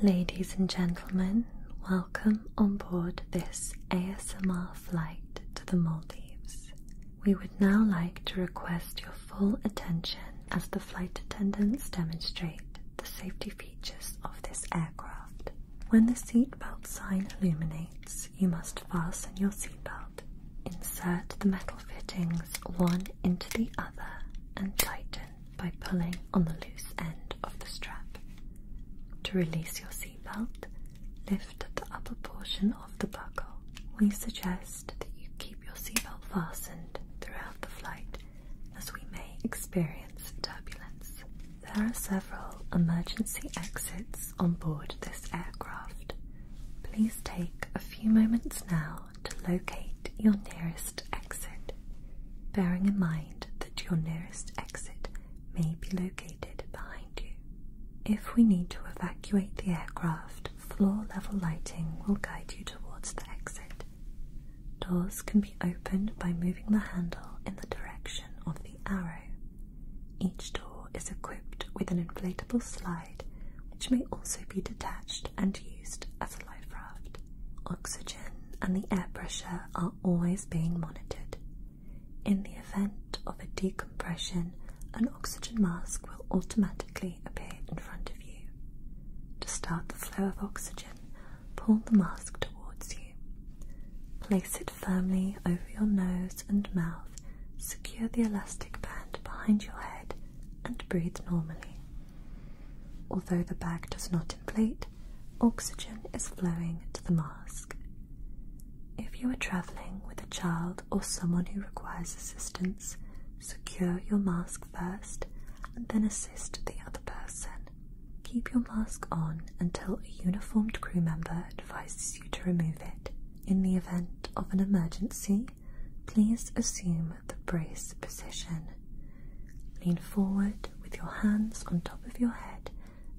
Ladies and gentlemen, welcome on board this ASMR flight to the Maldives. We would now like to request your full attention as the flight attendants demonstrate the safety features of this aircraft. When the seatbelt sign illuminates, you must fasten your seatbelt. Insert the metal fittings one into the other and tighten by pulling on the loose end of the strap. To release your seatbelt, lift the upper portion of the buckle. We suggest that you keep your seatbelt fastened throughout the flight as we may experience turbulence. There are several emergency exits on board this aircraft. Please take a few moments now to locate your nearest exit, bearing in mind that your nearest exit may be located behind you. If we need to evacuate the aircraft, floor level lighting will guide you towards the exit. Doors can be opened by moving the handle in the direction of the arrow. Each door is equipped with an inflatable slide which may also be detached and used as a life raft. Oxygen and the air pressure are always being monitored. In the event of a decompression, an oxygen mask will automatically appear in front of you. To start the flow of oxygen, pull the mask towards you. Place it firmly over your nose and mouth secure the elastic band behind your head and breathe normally. Although the bag does not inflate, oxygen is flowing to the mask. If you are traveling with a child or someone who requires assistance, secure your mask first and then assist the other person. Keep your mask on until a uniformed crew member advises you to remove it. In the event of an emergency, please assume the brace position. Lean forward with your hands on top of your head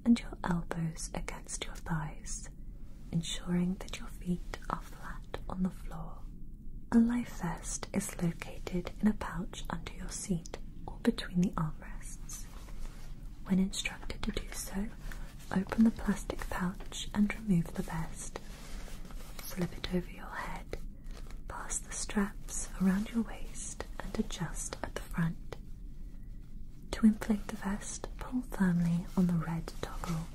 and your elbows against your thighs, ensuring that your feet are flat on the floor. A life vest is located in a pouch under your seat or between the armrests. When instructed to do so, open the plastic pouch and remove the vest. Slip it over your head, pass the straps around your waist, and adjust at the front. To inflate the vest, pull firmly on the red toggle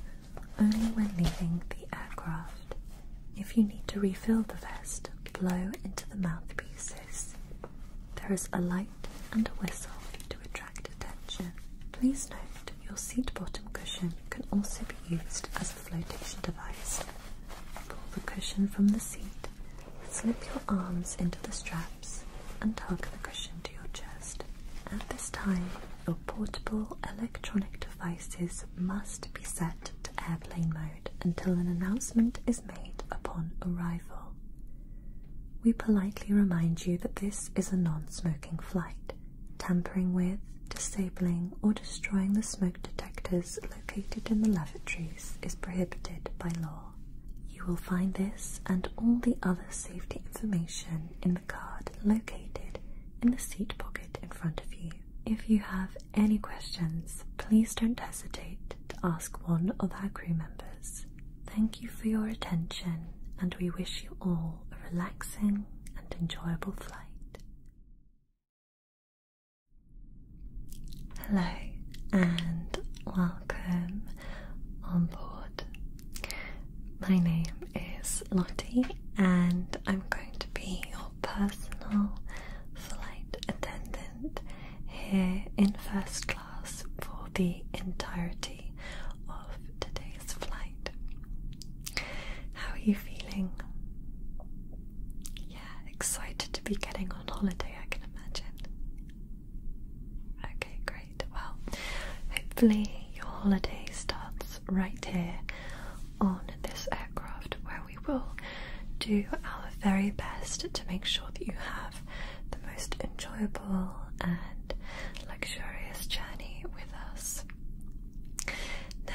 only when leaving the aircraft. If you need to refill the vest, blow into the mouthpieces. There is a light and a whistle to attract Please note your seat bottom cushion can also be used as a flotation device. Pull the cushion from the seat, slip your arms into the straps, and hug the cushion to your chest. At this time, your portable electronic devices must be set to airplane mode until an announcement is made upon arrival. We politely remind you that this is a non smoking flight. Tampering with, disabling, or destroying the smoke detectors located in the lavatories is prohibited by law. You will find this and all the other safety information in the card located in the seat pocket in front of you. If you have any questions, please don't hesitate to ask one of our crew members thank you for your attention, and we wish you all a relaxing and enjoyable flight. Hello, and welcome on board. My name is Lottie, and I'm going to be your personal flight attendant here in first class for the entirety of today's flight. How are you feeling? Yeah, excited to be getting on holiday, I can imagine. Okay, great. Well, hopefully, your holiday starts right here on this aircraft where we will do our very best to make sure that you have the most enjoyable simple and luxurious journey with us.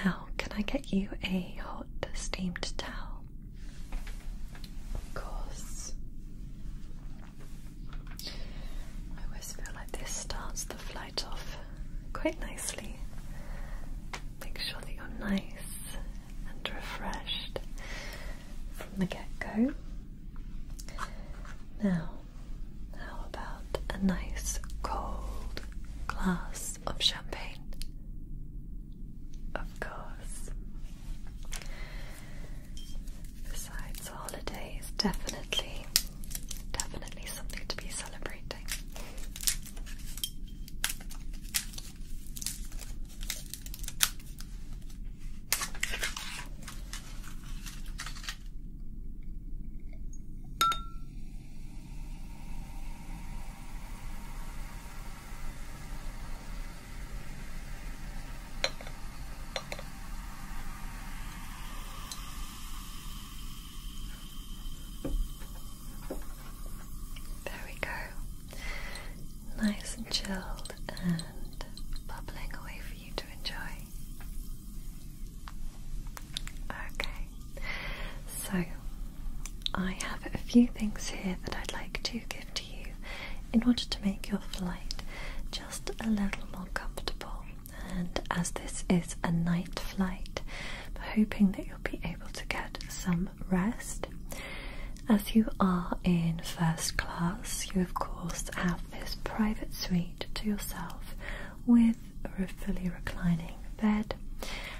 Now, can I get you a hot steamed towel? Of course. I always feel like this starts the flight off quite nicely. Make sure that you're nice and refreshed from the get go. Now, how about a nice cold glass of champagne? Of course. Besides, holiday is definitely, definitely something to be celebrating. There we go. Nice and chilled and bubbling away for you to enjoy. Okay, so I have a few things here that I'd like to give to you in order to make your flight just a little more comfortable. And as this is a night flight, hoping that you'll be able to get some rest. As you are in first class, you of course have this private suite to yourself with a fully reclining bed.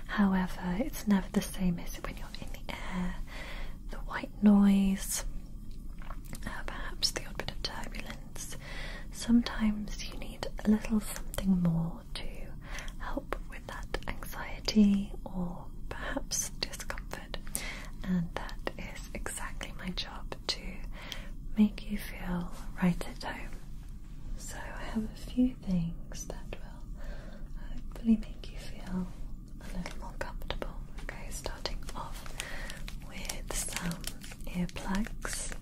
However, it's never the same as when you're in the air, the white noise, uh, perhaps the odd bit of turbulence. Sometimes you need a little something more to help with that anxiety or perhaps discomfort, and that is exactly my job to make you feel right at home. So, I have a few things that will hopefully make you feel a little more comfortable. Okay, starting off with some earplugs.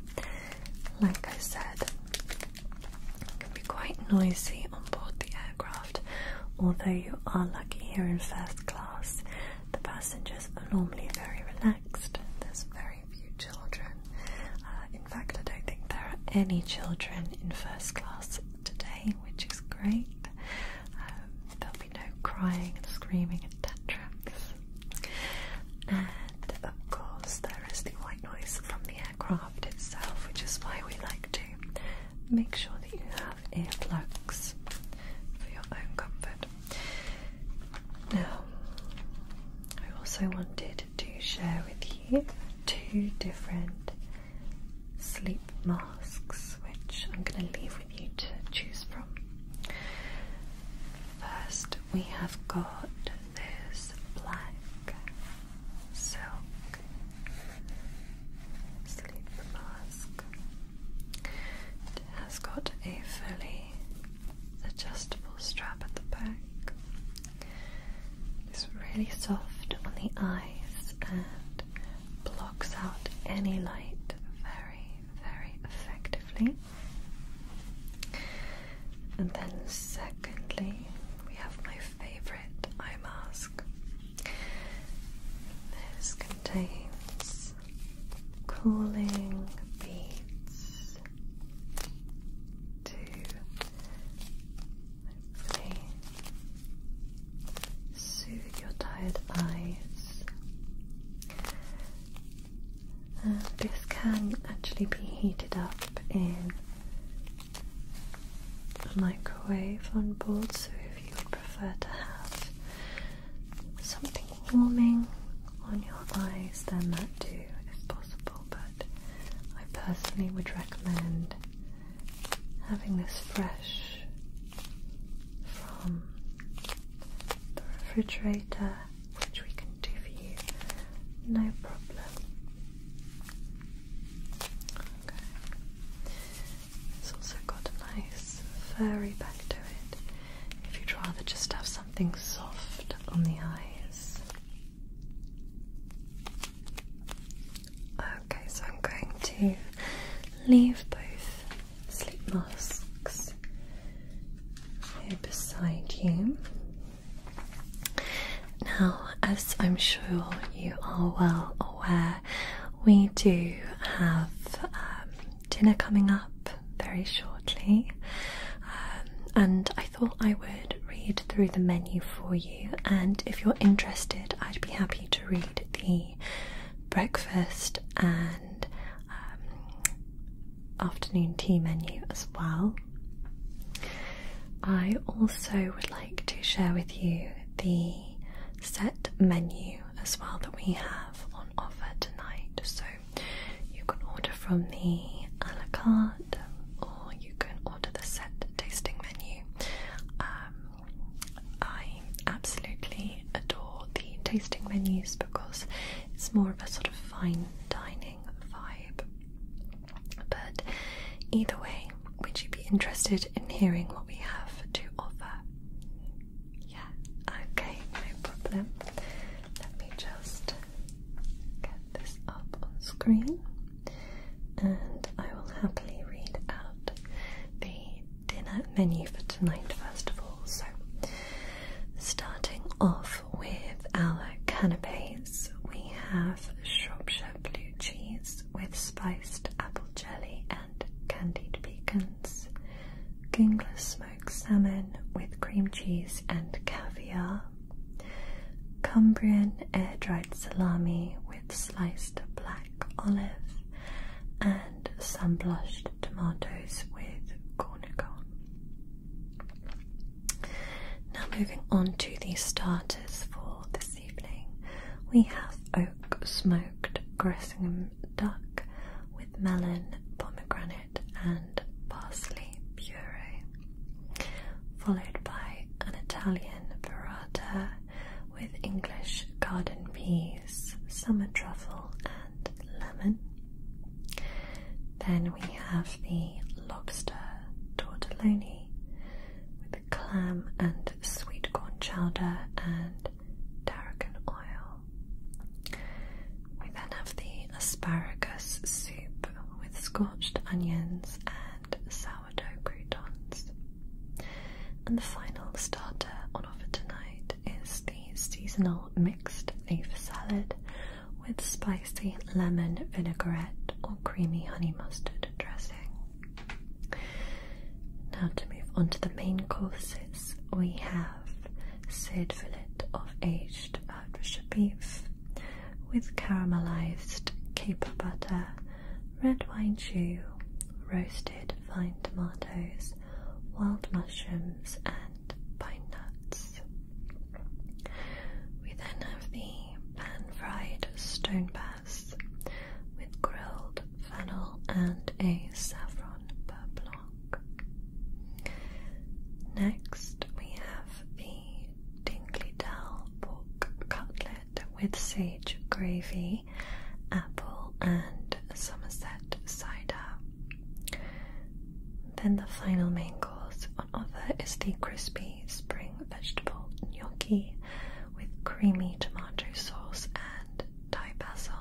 Like I said, it can be quite noisy on board the aircraft, although you are lucky here in first class the passengers are normally very relaxed. There's very few children. Uh, in fact, I don't think there are any children in first class today, which is great. Um, there'll be no crying and screaming and tantrums. And of course, there is the white noise from the aircraft itself, which is why we like to make sure that you have earplugs for your own comfort. Now, I also wanted to share with you two different sleep masks, which I'm going to leave with you to choose from. First, we have got this black silk sleep mask. It has got a fully adjustable strap at the back. It's really soft on the eyes and blocks out any light very, very effectively. And then, secondly, we have my favorite eye mask. This contains cooling beads to hopefully soothe your tired eyes. Uh, this can actually be heated up in a microwave on board, so if you would prefer to have something warming on your eyes, then that too is possible. But I personally would recommend having this fresh from the refrigerator, which we can do for you, no problem. It's also got nice furry back to it. If you'd rather just have something soft on the eyes. Okay, so I'm going to leave both sleep masks here beside you. Now, as I'm sure you are well aware, we do have um, dinner coming up very shortly, um, and I thought I would read through the menu for you. And if you're interested, I'd be happy to read the breakfast and um, afternoon tea menu as well. I also would like to share with you the set menu as well that we have on offer tonight. So you can order from the a la carte or you can order the set tasting menu. Um, I absolutely adore the tasting menus because it's more of a sort of fine dining vibe. But either way, would you be interested in hearing what we have to offer? Yeah, okay, no problem. Let me just get this up on screen and I will happily read out the dinner menu for tonight, first of all. So, starting off with our canapes, we have Shropshire blue cheese with spiced apple jelly and candied pecans, gingless salmon with cream cheese and caviar, Cumbrian air dried salami with sliced black olive, and sun blushed tomatoes with cornichon. Now, moving on to the starters for this evening, we have oak smoked Gressingham duck with melon, pomegranate, and parsley puree, followed by an Italian burrata with English garden peas, summer truffle, and lemon. Then we have the lobster tortelloni with clam and sweet corn chowder and tarragon oil. We then have the asparagus soup with scorched onions and sourdough croutons. And the final starter on offer tonight is the seasonal mixed leaf salad with spicy lemon vinaigrette or creamy honey mustard dressing. Now to move on to the main courses we have said fillet of aged Arusha beef with caramelized caper butter, red wine jus, roasted fine tomatoes, wild mushrooms and pine nuts. We then have the pan-fried stone bass with grilled fennel and a saffron beurre Next, we have the Dingley Dell pork cutlet with sage gravy, apple, and Somerset cider. Then the final main course on offer is the crispy spring vegetable gnocchi with creamy tomato sauce and and basil.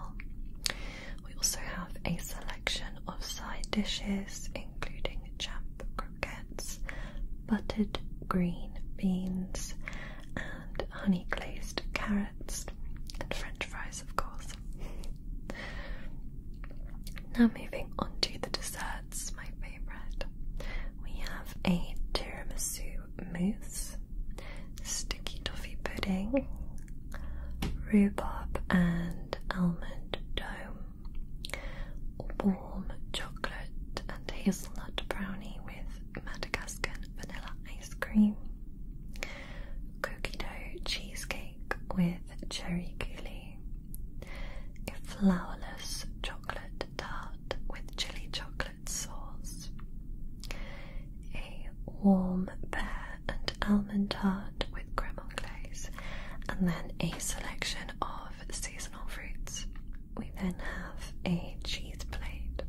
We also have a selection of side dishes including champ croquettes, buttered green beans, and honey glazed carrots, and french fries, of course. now, moving on to the desserts, my favourite. We have a tiramisu mousse, sticky toffee pudding, rhubarb and almond dome, warm chocolate and hazelnut brownie with Madagascar vanilla ice cream, cookie dough cheesecake with cherry coulis, a flourless chocolate tart with chili chocolate sauce, a warm pear and almond tart with creme anglaise, and then a selection of seasonal fruits. We then have a cheese plate,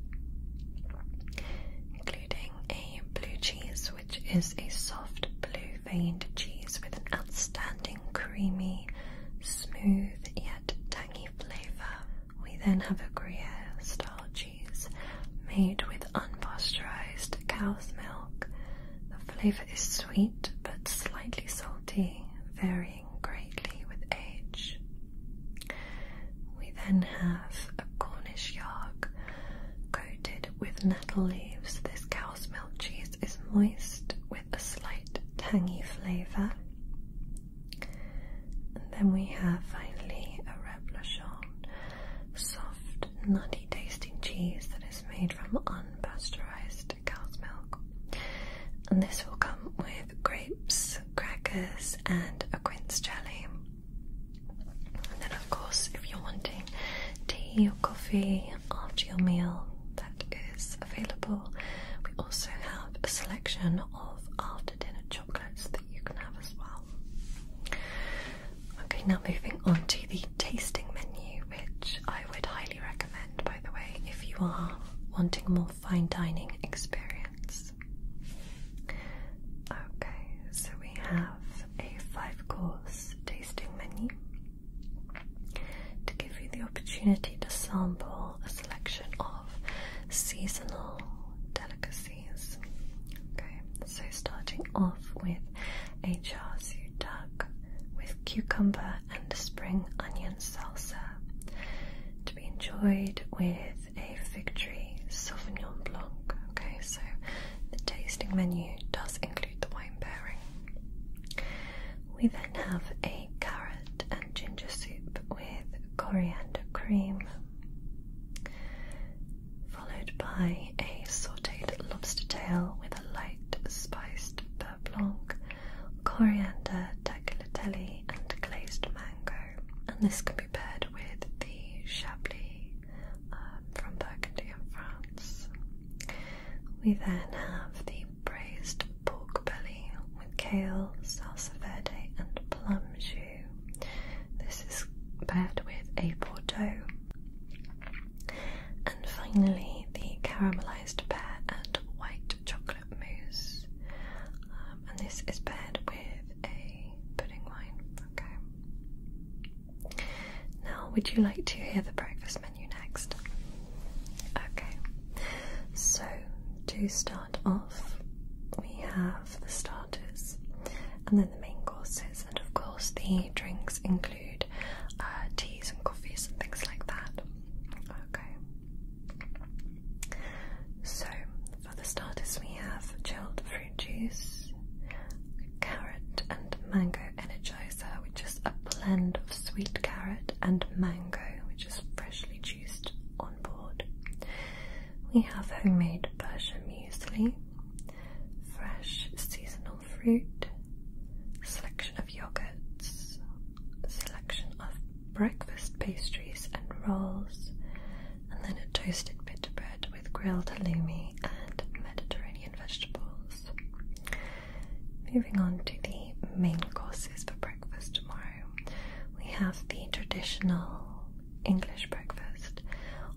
including a blue cheese, which is a soft blue veined cheese with an outstanding creamy, smooth yet tangy flavour. We then have a Gruyere style made with unpasteurized cow's milk. The flavor is sweet but slightly salty, varying greatly with age. We then have a Cornish yarg coated with nettle leaves. This cow's milk cheese is moist with a slight tangy flavor. And then we have finally a Reblochon soft, nutty tasting cheese that is made from unpasteurized cow's milk. And this will come with grapes, crackers, and a quince jelly. And then, of course, if you're wanting tea or coffee after your meal, that is available. We also have a selection of after dinner Okay, now moving on to the tasting menu, which I would highly recommend, by the way, if you are wanting a more fine dining experience. Okay, so we have a five course tasting menu to give you the opportunity to sample a selection of seasonal delicacies. Okay, so starting off with a char siu duck with cucumber and spring onion salsa to be enjoyed with a fig tree sauvignon blanc. Okay, so the tasting menu does include the wine pairing. We then have a carrot and ginger soup with coriander cream, followed by a sautéed lobster tail with a light spiced beurre coriander, tagliatelli, and glazed mango. And this can be paired with the Chablis um, from Burgundy in France. We then have the braised pork belly with kale, salsa verde, and plum jus. This is paired with a Bordeaux. And finally, the caramelized pear and white chocolate mousse. Um, and this is paired with a pudding wine. Okay. Now, would you like to hear the breakfast menu next? Okay. So, to start off, we have the star and then the main courses. And of course, the drinks include uh, teas and coffees and things like that. Okay. So for the starters, we have chilled fruit juice, carrot and mango energizer, which is a blend of sweet carrot and mango, which is freshly juiced on board. We have homemade Persian muesli, fresh seasonal fruit, selection of yogurts, selection of breakfast pastries and rolls, and then a toasted bitter bread with grilled halloumi and Mediterranean vegetables. Moving on to the main courses for breakfast tomorrow, we have the traditional English breakfast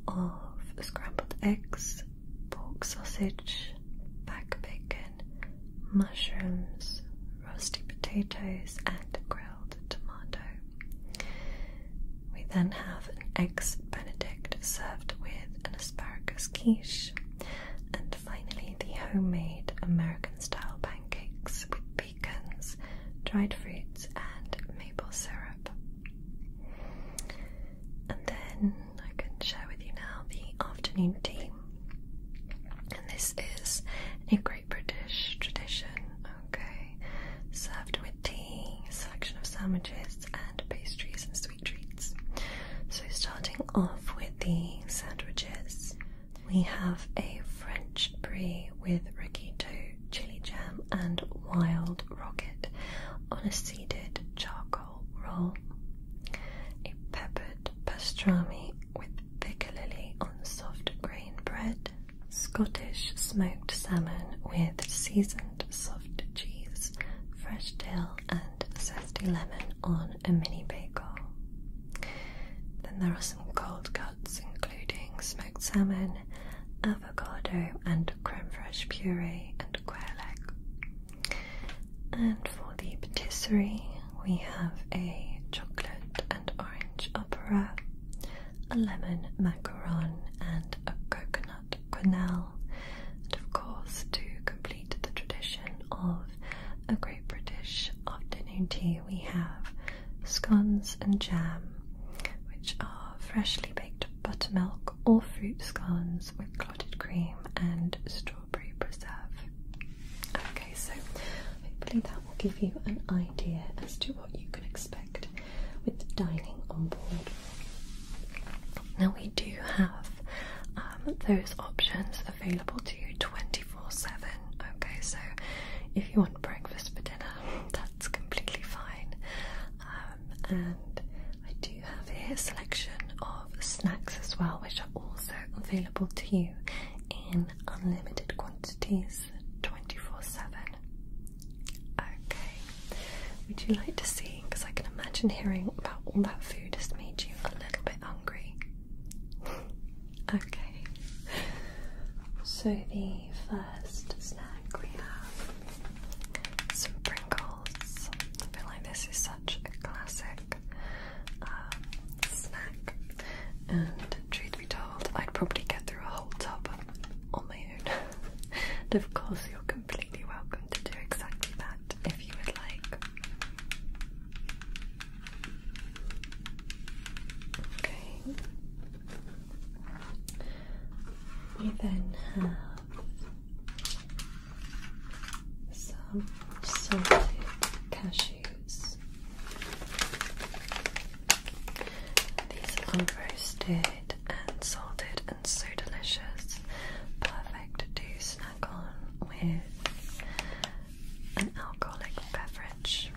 of scrambled eggs, pork sausage, back bacon, mushrooms, roasted potatoes, and grilled tomato. We then have an eggs benedict served with an asparagus quiche, and finally the homemade American style pancakes with pecans, dried fruits, and maple syrup. And then I can share with you now the afternoon tea. And this is a Great British tradition, okay? Served with tea, selection of sandwiches, and pastries and sweet treats. So, starting off with the sandwiches, we have a French brie with rigatoni chili jam, and wild rocket on a seeded charcoal roll. A peppered pastrami with piccalilli lily on soft grain bread. Scottish smoked salmon with seasoned soft cheese, fresh dill, and zesty lemon on a mini bagel. Then there are some cold cuts including smoked salmon, avocado and creme fraiche puree and quail egg. And for the patisserie we have a chocolate and orange opera, a lemon macaron and a coconut quenelle. And of course to complete the tradition of a great British afternoon tea we have scones and jam, which are freshly baked buttermilk or fruit scones with clotted cream and strawberry preserve. Okay, so hopefully that will give you an idea as to what you can expect with dining on board. Now we do have um, those options available to you 24 7. Okay, so if you want breakfast for dinner, that's completely fine. Um, and I do have a selection of snacks as well, which are also available to you in unlimited quantities 24 7. Okay, would you like to see? Because I can imagine hearing about all that food has made you a little bit hungry. okay, so the first snack we have some Pringles. I feel like this is such a classic um, snack, and truth be told, I'd probably get through a whole tub on my own. and of course, you're completely welcome to do exactly that if you would like. Okay. We then have some salted cashews. These are roasted and salted and so delicious. Perfect to snack on with an alcoholic beverage.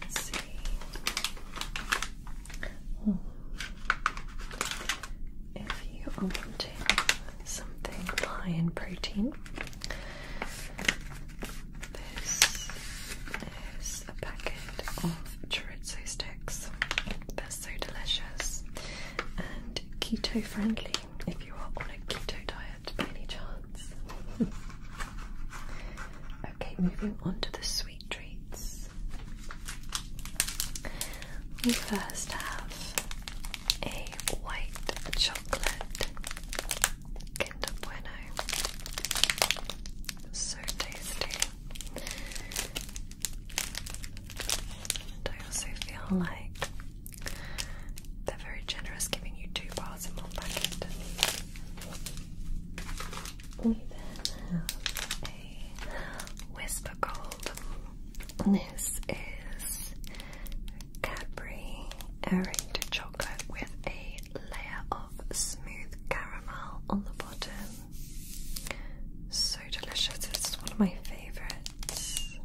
Let's see. Hmm. If you are wanting something high in protein, this is a packet of chorizo sticks. They're so delicious and keto friendly if you are on a keto diet by any chance? okay, moving on to the sweet treats. We first have a white chocolate Kinder Bueno. So tasty. I also feel like they're very generous giving you two bars in one packet. We then have a Whisper Gold. This is Cadbury Erated Chocolate with a layer of smooth caramel on the bottom. So delicious, it's one of my favourites.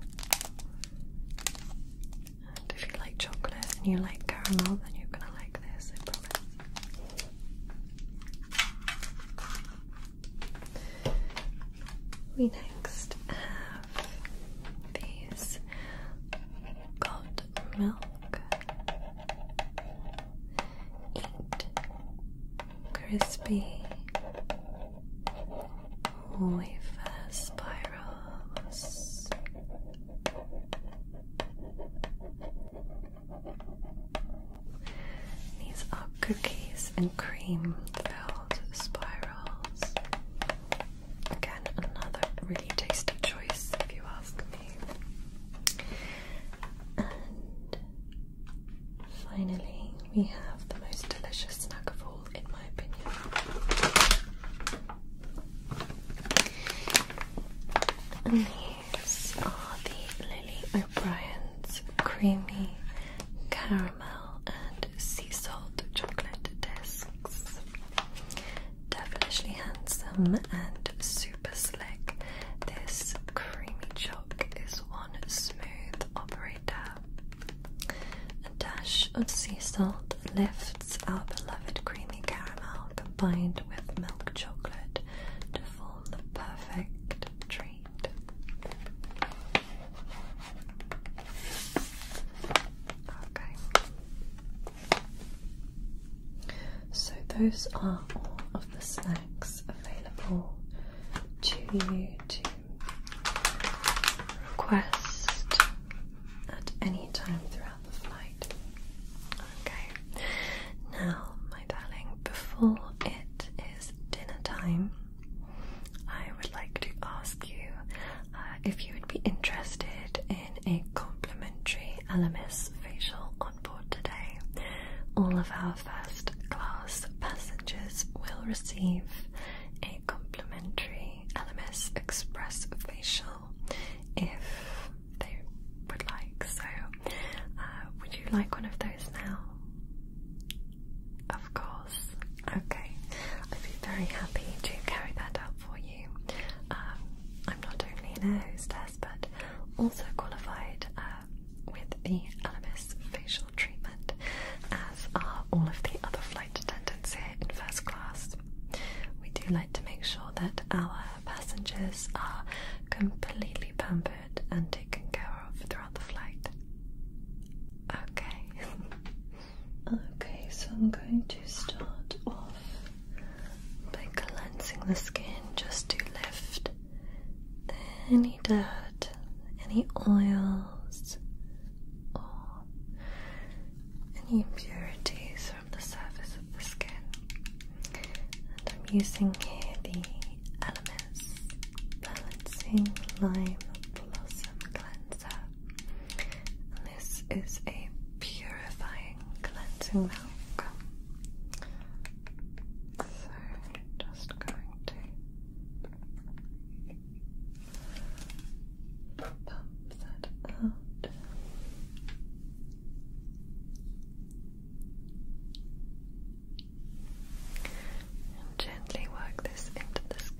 And if you like chocolate and you like caramel, then you're gonna like this, I promise. We next have these gold milk eat crispy wafer spirals. These are cookies and cream filled spirals. Again, another really tasty choice if you ask me. And finally, we have the most delicious snack of all in my opinion. And these are the Lily O'Brien's creamy caramel and sea salt chocolate discs. Devilishly handsome and super slick. This creamy chalk is one smooth operator. A dash of sea salt lifts our beloved creamy caramel combined with milk chocolate to form the perfect treat. Okay. So those are all of the snacks available to you to request at any time throughout the flight. Okay, now, my darling, before it is dinner time, I would like to ask you uh, if you would be interested in a complimentary LMS facial on board today. All of our first class passengers will receive a complimentary LMS Express facial if they would like. So, uh, would you like one of those now? Of course. Okay, I'd be very happy to carry that out for you. Um, I'm not only an air hostess, but also qualified uh, with the LMS facial treatment, as are all of the other flight attendants here in first class. We do like to make sure that our passengers are completely pampered and taken care of throughout the flight. Okay. okay, so I'm going to start off by cleansing the skin just to lift any dirt, any oils, all any impurities from the surface of the skin. And I'm using here the Elements Balancing Lime Blossom Cleanser. this is a purifying cleansing milk. So, just going to Pump that out. And gently work this into the skin.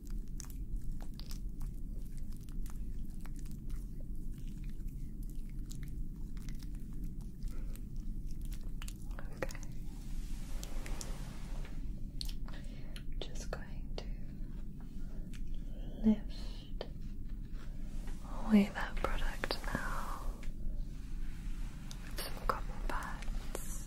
Okay. i just going to lift away that product now with some cotton pads.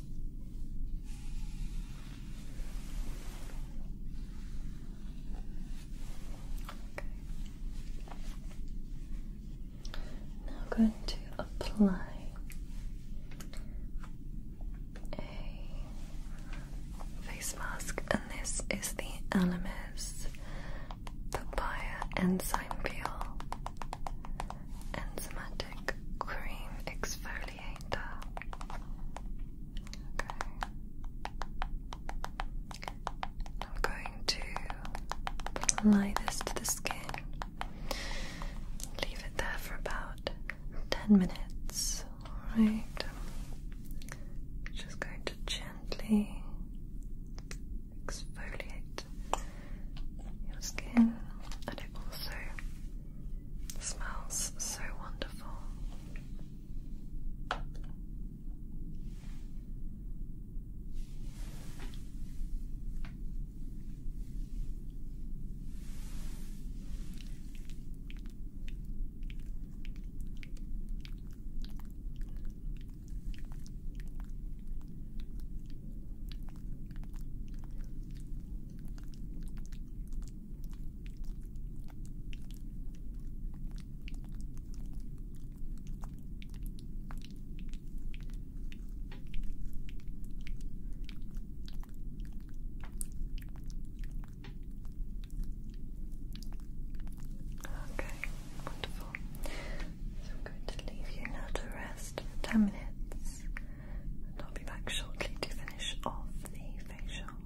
Now I'm going to apply a face mask, and this is the Elemis Papaya Enzyme Peel Enzymatic Cream Exfoliator. Okay. I'm going to apply this to the skin. Leave it there for about 10 minutes. Alright. Just going to gently exfoliate your skin, and it also smells so wonderful. Okay, wonderful. So I'm going to leave you now to rest for ten minutes. I'll be back shortly to finish off the facial.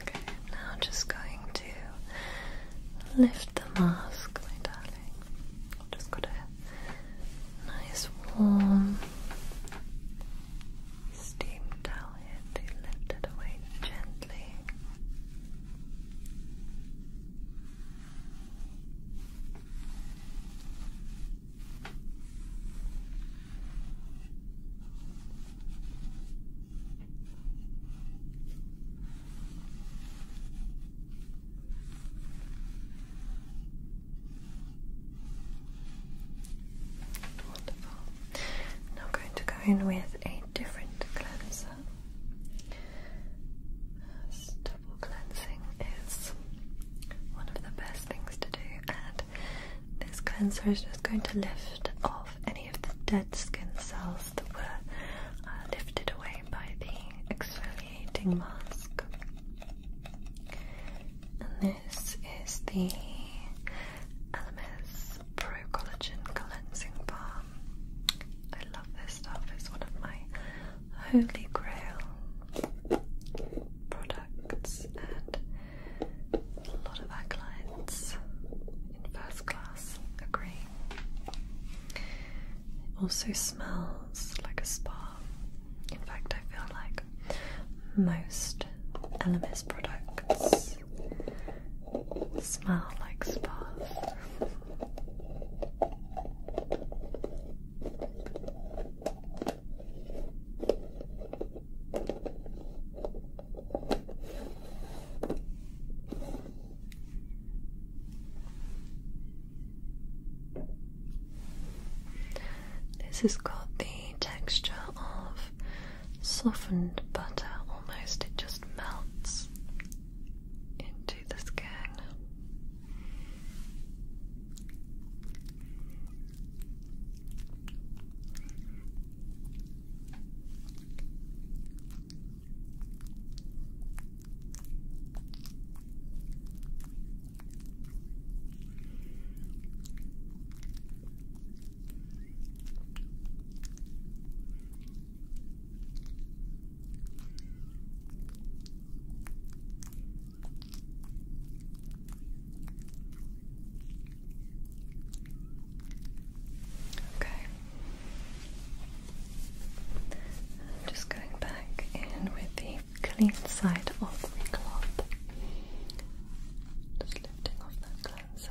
Okay, now just going to lift the mask, my darling. just got a nice warm steam towel here lift it away gently. I'm going to go in with a different cleanser double cleansing is one of the best things to do, and this cleanser is just going to lift off any of the dead skin cells that were uh, lifted away by the exfoliating mask. And this is the Elemis Pro Collagen Cleansing Bar. I love this stuff, it's one of my holy grail products, and a lot of our clients in first class agree. also smells like a spa. In fact, I feel like most LMS products smell like spas. This is got the texture of softened butter, almost, it just melts into the skin. Okay. just going back in with the clean side of the cloth. Just lifting off that cleanser.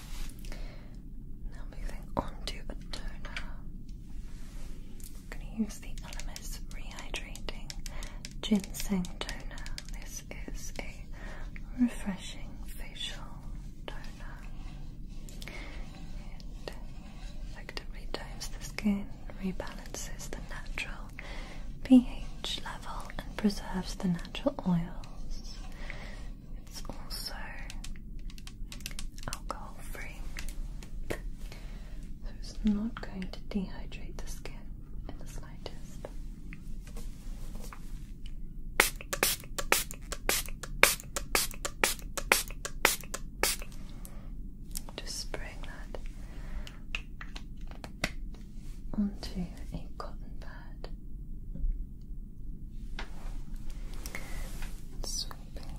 Now moving on to a toner. I'm going to use the Elemis Rehydrating Ginseng Toner. This is a refreshing facial toner. It effectively tones the skin, rebalances the natural pH level, and preserves the natural oils. It's also alcohol free, so it's not going to dehydrate the skin in the slightest. Just spraying that onto a cotton pad. Sweeping,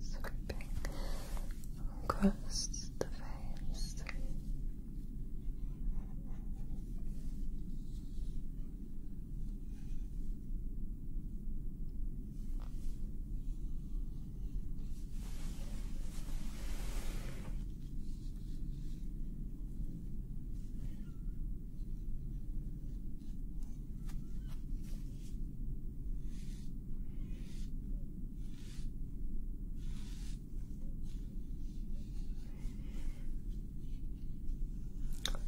sweeping across the face.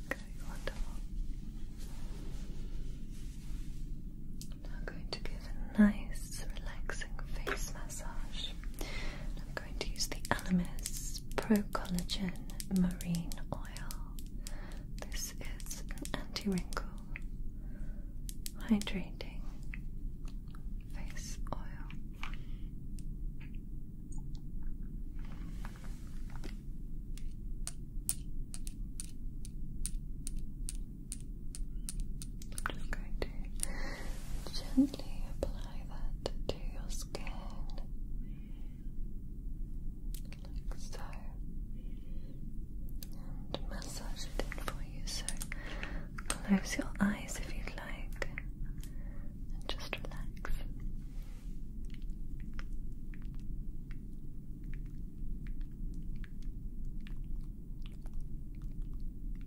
Okay, wonderful. I'm now going to give a nice relaxing face massage massage. I'm going to use the Alamis Pro Collagen Marine Oil. This is an anti wrinkle, hydrating face oil. I'm just going to gently apply that to your skin like so and massage it in for you so close your eyes if you'd like and just relax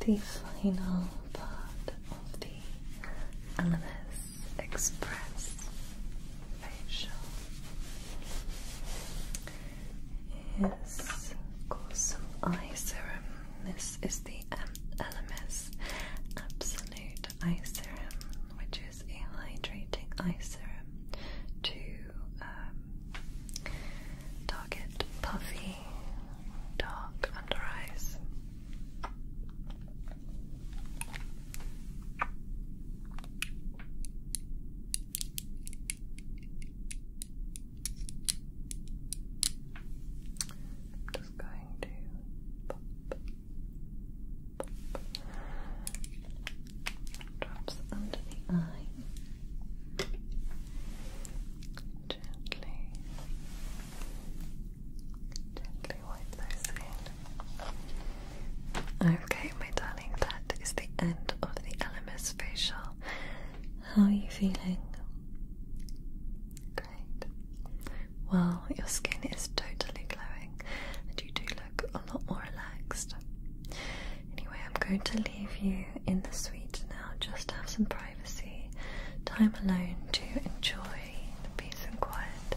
The final part of the Animus Express facial is, of course, some eye serum. This is the um, Elemis Absolute Eye Serum which is a hydrating eye serum to um, target puffy, dark under eyes. I'm just going to pop drops under gently gently wipe those in okay my darling that is the end of the LMS facial how are you feeling? Well, your skin is totally glowing and you do look a lot more relaxed. Anyway, I'm going to leave you in the suite now just to have some privacy, time alone to enjoy the peace and quiet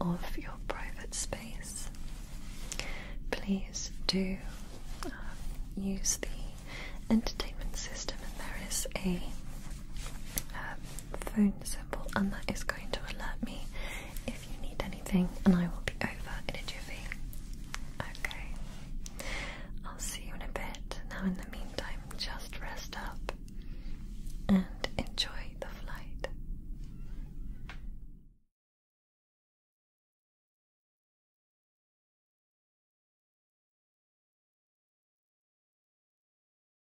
of your private space. Please do um, use the entertainment system, and there is a um, phone symbol, and that is going to alert me if you need anything, and I will be over in a jiffy. Okay, I'll see you in a bit. Now, in the meantime, just rest up and enjoy the flight.